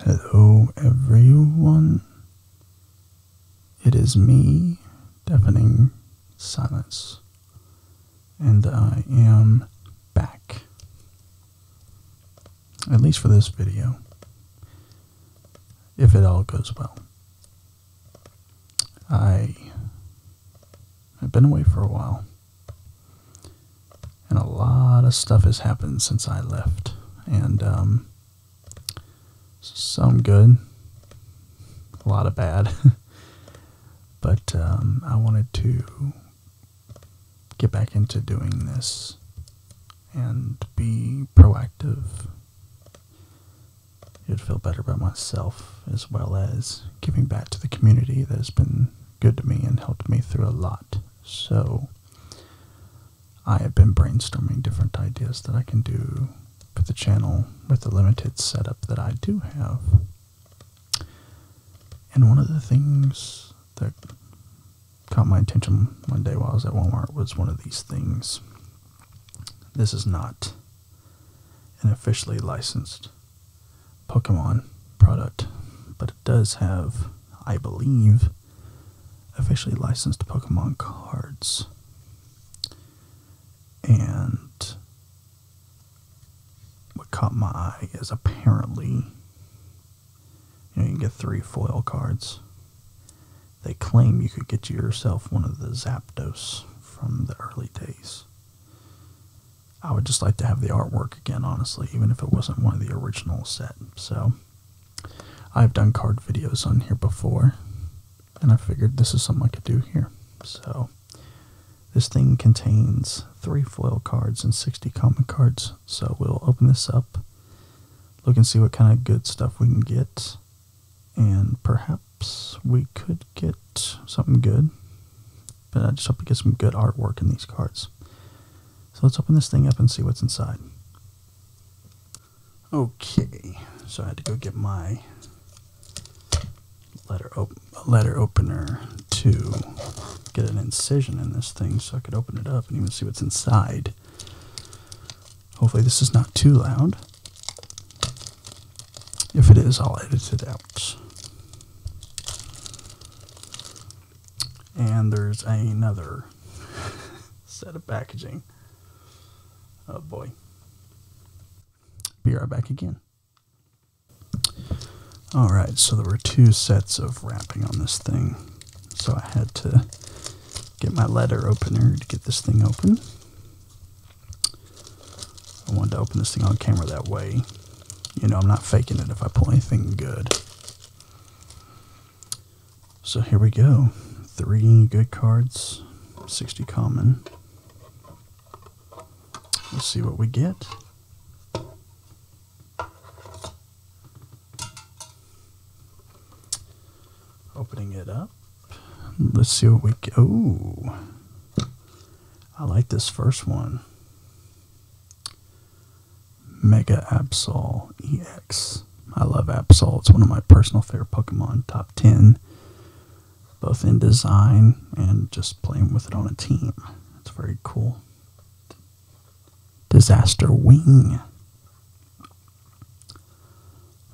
Hello, everyone. It is me, Deafening Silence, and I am back. At least for this video, if it all goes well. I have been away for a while. And a lot of stuff has happened since I left. And um, some good, a lot of bad. but um, I wanted to get back into doing this and be proactive. It'd feel better about myself as well as giving back to the community that has been good to me and helped me through a lot. So I have been brainstorming different ideas that I can do with the channel with the limited setup that I do have. And one of the things that caught my attention one day while I was at Walmart was one of these things. This is not an officially licensed Pokemon product, but it does have, I believe, officially licensed Pokemon cards. And what caught my eye is apparently you, know, you can get three foil cards. They claim you could get yourself one of the Zapdos from the early days. I would just like to have the artwork again, honestly, even if it wasn't one of the original set. So, I've done card videos on here before, and I figured this is something I could do here. So, this thing contains three foil cards and 60 comic cards. So, we'll open this up, look and see what kind of good stuff we can get, and perhaps we could get something good but I just hope to get some good artwork in these cards. So let's open this thing up and see what's inside. Okay, so I had to go get my letter letter opener to get an incision in this thing so I could open it up and even see what's inside. Hopefully this is not too loud. If it is, I'll edit it out. And there's another set of packaging. Oh boy. Be right back again. Alright, so there were two sets of wrapping on this thing. So I had to get my letter opener to get this thing open. I wanted to open this thing on camera that way. You know, I'm not faking it if I pull anything good. So here we go. Three good cards, 60 common. Let's see what we get. Opening it up. Let's see what we get. Oh, I like this first one. Mega Absol EX. I love Absol. It's one of my personal favorite Pokemon, top 10, both in design and just playing with it on a team. It's very cool. Disaster Wing.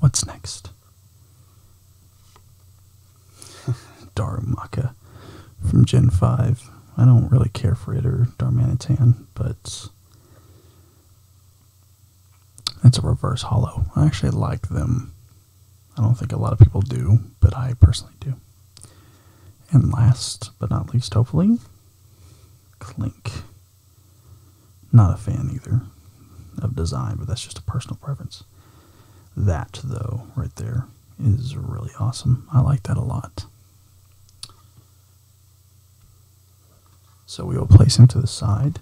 What's next? Darumaka from Gen 5. I don't really care for it or Darmanitan, but it's a reverse hollow. I actually like them. I don't think a lot of people do, but I personally do. And last but not least, hopefully, Clink. Not a fan either of design, but that's just a personal preference. That, though, right there is really awesome. I like that a lot. So we will place him to the side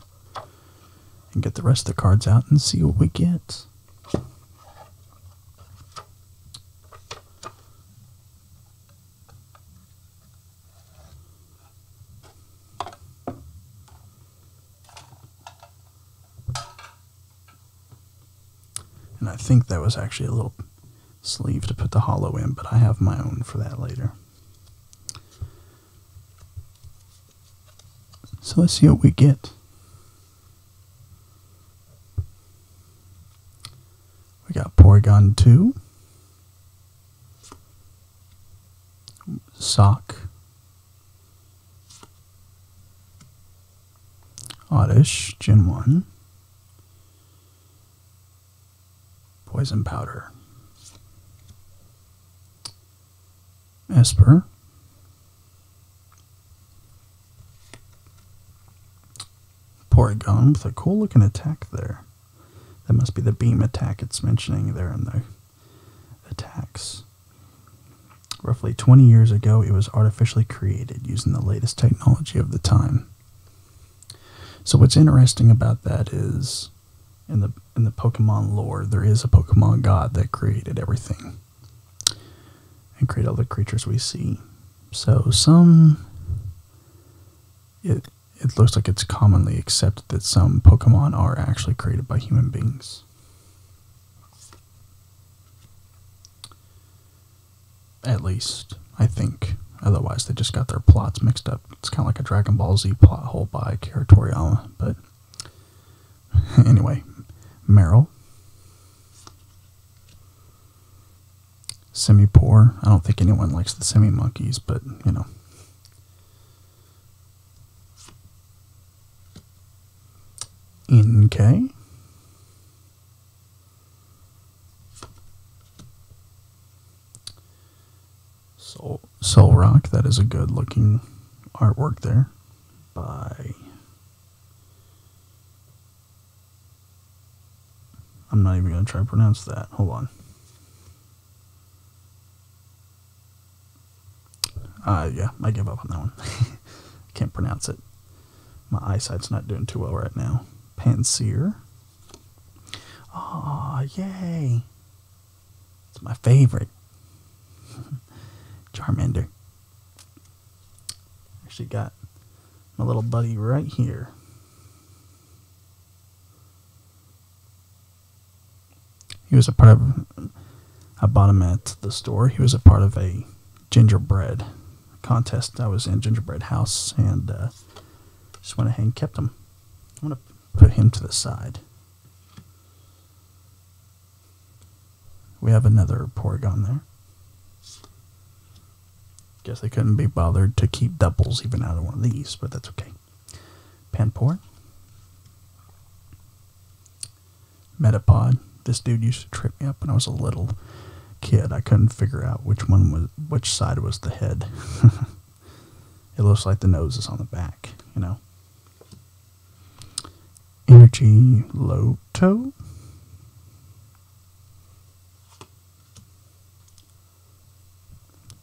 and get the rest of the cards out and see what we get. And I think that was actually a little sleeve to put the hollow in, but I have my own for that later. So let's see what we get. We got Porygon 2, Sock, Oddish, Gen 1. Poison Powder. Esper. Poragon with a cool looking attack there. That must be the beam attack it's mentioning there in the attacks. Roughly 20 years ago, it was artificially created using the latest technology of the time. So what's interesting about that is in the in the Pokemon lore, there is a Pokemon god that created everything and created all the creatures we see. So some it it looks like it's commonly accepted that some Pokemon are actually created by human beings. At least, I think. Otherwise, they just got their plots mixed up. It's kind of like a Dragon Ball Z plot hole by Kira Toriyama, but anyway, Meryl. Semi poor. I don't think anyone likes the semi monkeys, but you know. N K. Soul, Soul Rock, that is a good looking artwork there by. I'm not even going to try to pronounce that. Hold on. Uh, yeah, I give up on that one. Can't pronounce it. My eyesight's not doing too well right now. Panseer. Ah, oh, yay. It's my favorite. Charmander. Actually got my little buddy right here. He was a part of. I bought him at the store. He was a part of a gingerbread contest. I was in gingerbread house and uh, just went ahead and kept him. I'm gonna put him to the side. We have another Porygon there. Guess they couldn't be bothered to keep doubles even out of one of these, but that's okay. Panpour. Metapod. This dude used to trip me up when I was a little kid. I couldn't figure out which one was which side was the head. it looks like the nose is on the back, you know. Energy Loto.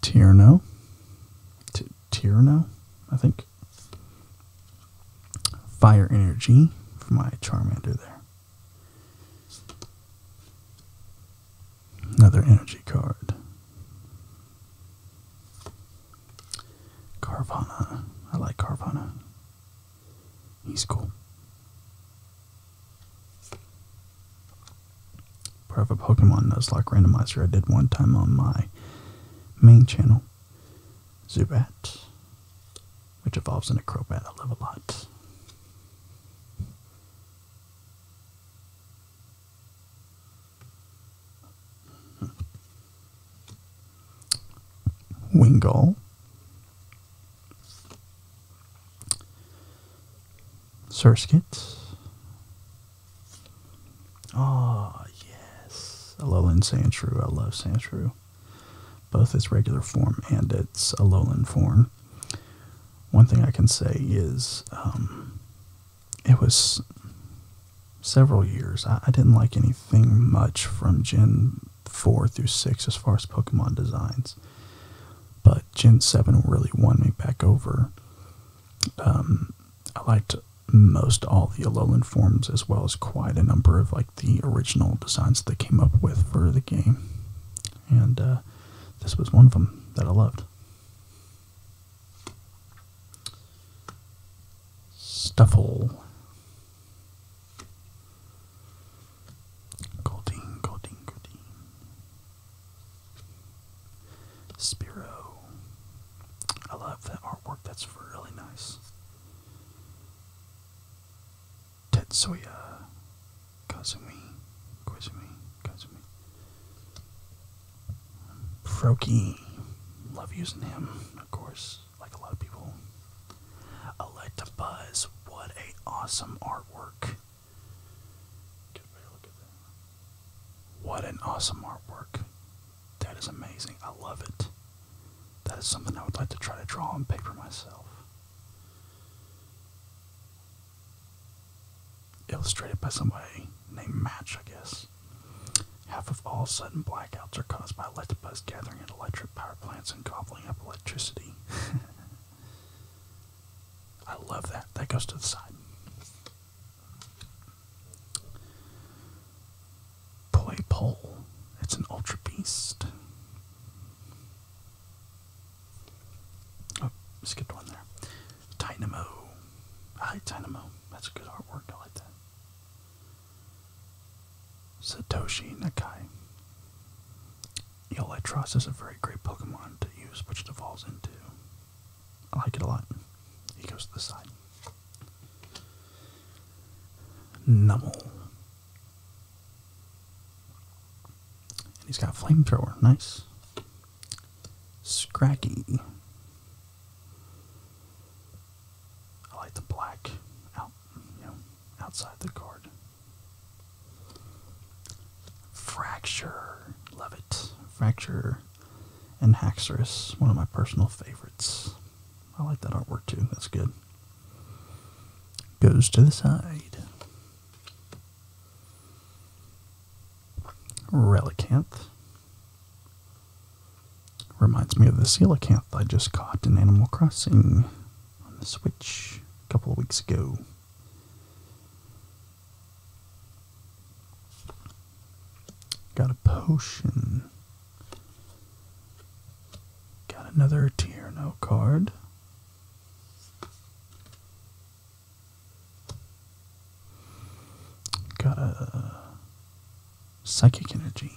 Tierno. T- Tierno, I think. Fire Energy for my Charmander there. Another energy card. Carvana. I like Carvana. He's cool. Part of a Pokemon Nuzlocke randomizer I did one time on my main channel. Zubat, which evolves into Crobat. I love a lot. Wingull. Surskit. Oh, yes. Alolan Sandshrew. I love Sandshrew. Both its regular form and its Alolan form. One thing I can say is um, it was several years. I, didn't like anything much from Gen 4 through 6 as far as Pokemon designs. But Gen 7 really won me back over. Um, I liked most all the Alolan forms as well as quite a number of like the original designs they came up with for the game. And uh, this was one of them that I loved. Stuffle. Golding, Golding, Golding. Spiro. I love that artwork. That's really nice. Tetsuya Kazumi. Kazumi. Kazumi. Froki. Love using him, of course, like a lot of people. Electabuzz. Buzz. What a awesome artwork. What an awesome artwork. That is amazing. I love it. That is something I would like to try to draw on paper myself. Illustrated by somebody named Match, I guess. Half of all sudden blackouts are caused by electric buzz gathering in electric power plants and gobbling up electricity. I love that. That goes to the side. Poi Pole. It's an Ultra Beast. Oh, skipped one there. Dynamo. I like Dynamo. That's a good artwork. I like that. Satoshi Nakai. Electros is a very great Pokemon to use, which it evolves into. I like it a lot. He goes to the side. Nummel. And he's got flamethrower. Nice. Scracky. I like the black out, you know, outside the card. Fracture. Love it. Fracture and Haxorus, one of my personal favorites. I like that artwork too. That's good. Goes to the side. Relicanth. Reminds me of the coelacanth I just caught in Animal Crossing on the Switch a couple of weeks ago. Got a potion. Got another Tierno card. Got a psychic energy.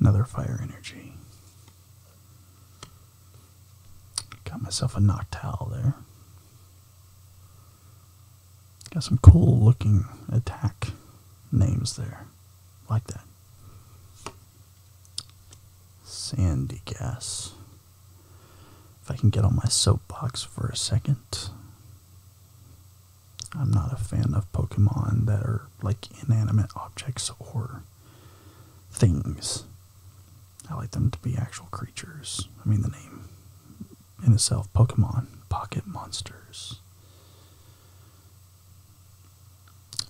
Another fire energy. Got myself a Noctowl there. Got some cool looking attack names there. Like that. Sandy gas. If I can get on my soapbox for a second. I'm not a fan of Pokemon that are like inanimate objects or things. I like them to be actual creatures. I mean, the name in itself Pokemon, Pocket Monsters.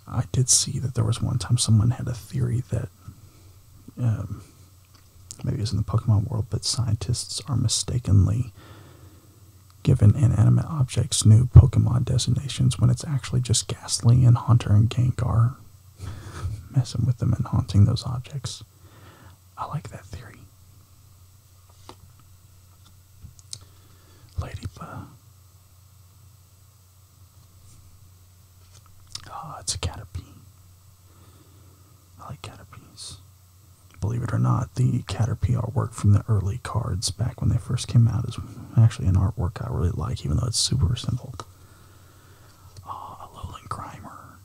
I did see that there was one time someone had a theory that um, maybe it's in the Pokemon world, but scientists are mistakenly given inanimate objects new Pokemon designations when it's actually just Ghastly and Hunter and Gengar messing with them and haunting those objects. I like that theory. Ladybug. Ah, it's a caterpie. I like caterpies. Believe it or not, the caterpie artwork from the early cards back when they first came out is actually an artwork I really like, even though it's super simple uh, a lowland grimer.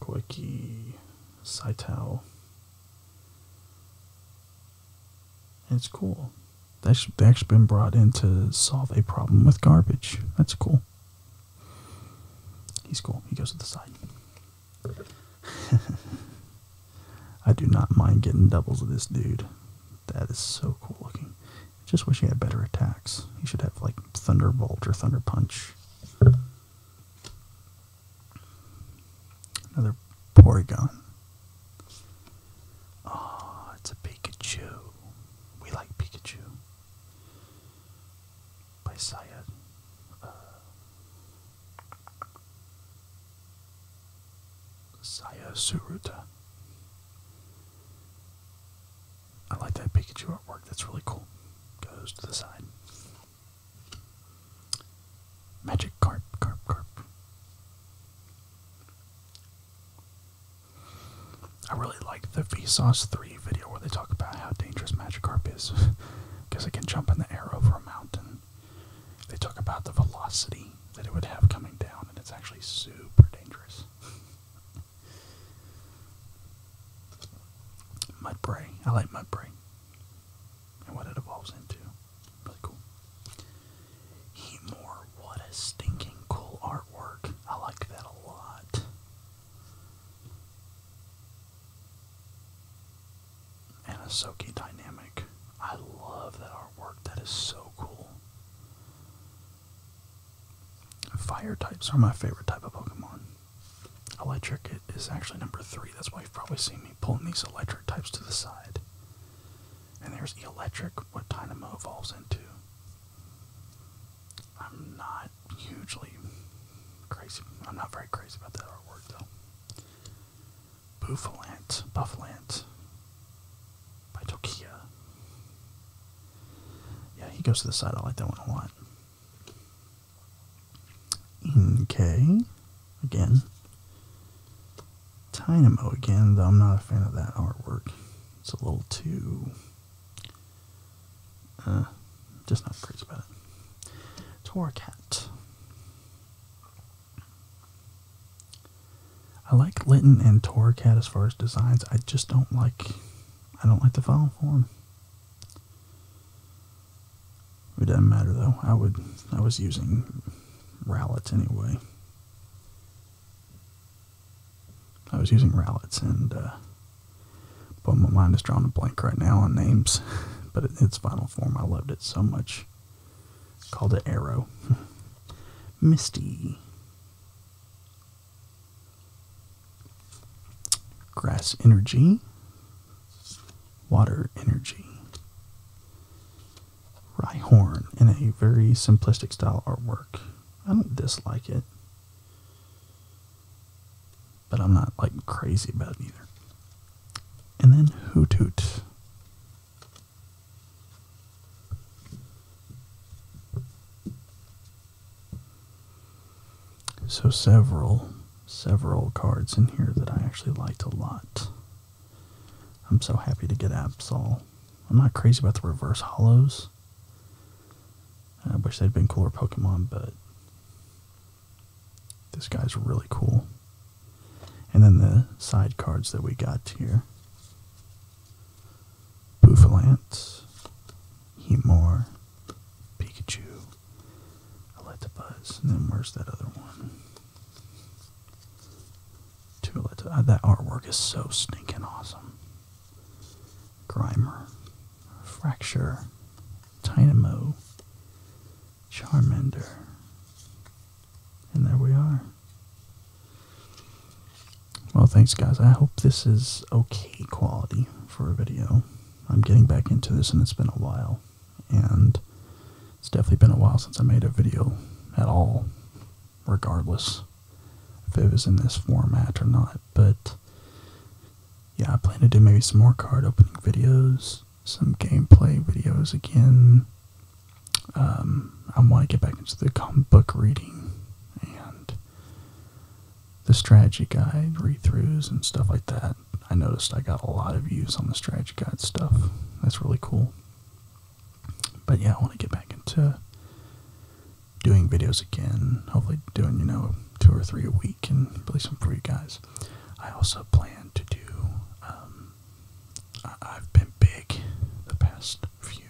Koiki, Saitao. it's cool. That's, that's been brought in to solve a problem with garbage. That's cool. He's cool. He goes to the side. I do not mind getting doubles of this dude. That is so cool looking. Just wish he had better attacks. He should have like Thunderbolt or Thunder Punch. Another Porygon. Oh, it's a Pikachu. We like Pikachu by Syed. Uh, Saya Suruta. I like that Pikachu artwork, that's really cool. Goes to the side. Magic Carp, Carp, Carp. I really like the Vsauce 3 video where they talk about how dangerous Magikarp is because it can jump in the air over a mountain. They talk about the velocity that it would have coming down, and it's actually super dangerous. Mudbray. I like Mudbray. And what it evolves into. Really cool. Heatmore. What a stinking cool artwork. I like that a lot. Anasoki Dynamic. I love that artwork. That is so cool. Fire types are my favorite type of Pokemon. Electric is actually number three. That's why you've probably seen me pulling these electric types to the side. And there's electric, what Dynamo evolves into. I'm not hugely crazy. I'm not very crazy about that artwork though. Buffalant, Buffalant by Tokia. Yeah, he goes to the side. I like that one a lot. Okay, again. Dynamo again, though I'm not a fan of that artwork. It's a little too uh, just not crazy about it. Torcat. I like Linton and Torcat as far as designs. I just don't like. I don't like the final form. It doesn't matter though. I would. I was using Rowlett anyway. I was using Rowlett's, and uh, but my mind is drawing a blank right now on names. But in its final form, I loved it so much. Called it Arrow. Misty. Grass Energy. Water Energy. Rhyhorn in a very simplistic style artwork. I don't dislike it but I'm not like crazy about it either. And then Hoot Hoot. So several, several cards in here that I actually liked a lot. I'm so happy to get Absol. I'm not crazy about the reverse hollows. I wish they'd been cooler Pokemon, but this guy's really cool. And then the side cards that we got here. Boofalant, Hemor, Pikachu, Electabuzz, and then where's that other one? Uh, that artwork is so stinking awesome. Grimer, Fracture, Dynamo, Charmander. And there we are. Well, thanks guys. I hope this is okay quality for a video. I'm getting back into this and it's been a while. And it's definitely been a while since I made a video at all, regardless if it was in this format or not. But yeah, I plan to do maybe some more card opening videos, some gameplay videos again. Um, I want to get back into the comic book reading and the strategy guide read throughs and stuff like that. I noticed I got a lot of views on the strategy guide stuff. That's really cool. But yeah, I want to get back into doing videos again. Hopefully, doing you know two or three a week and release them for you guys. I also plan to do. Um, I've been big the past few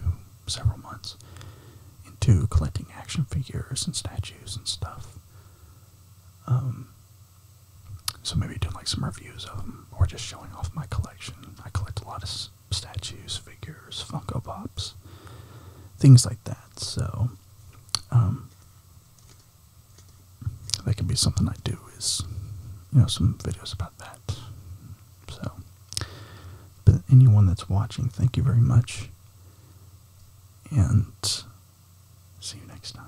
several months into collecting action figures and statues and stuff. Um, so maybe doing like some reviews of them or just showing off my collection. I collect a lot of statues, figures, Funko Pops, things like that. So, um, that could be something I do is, you know, some videos about that. So, but anyone that's watching, thank you very much. And see you next time.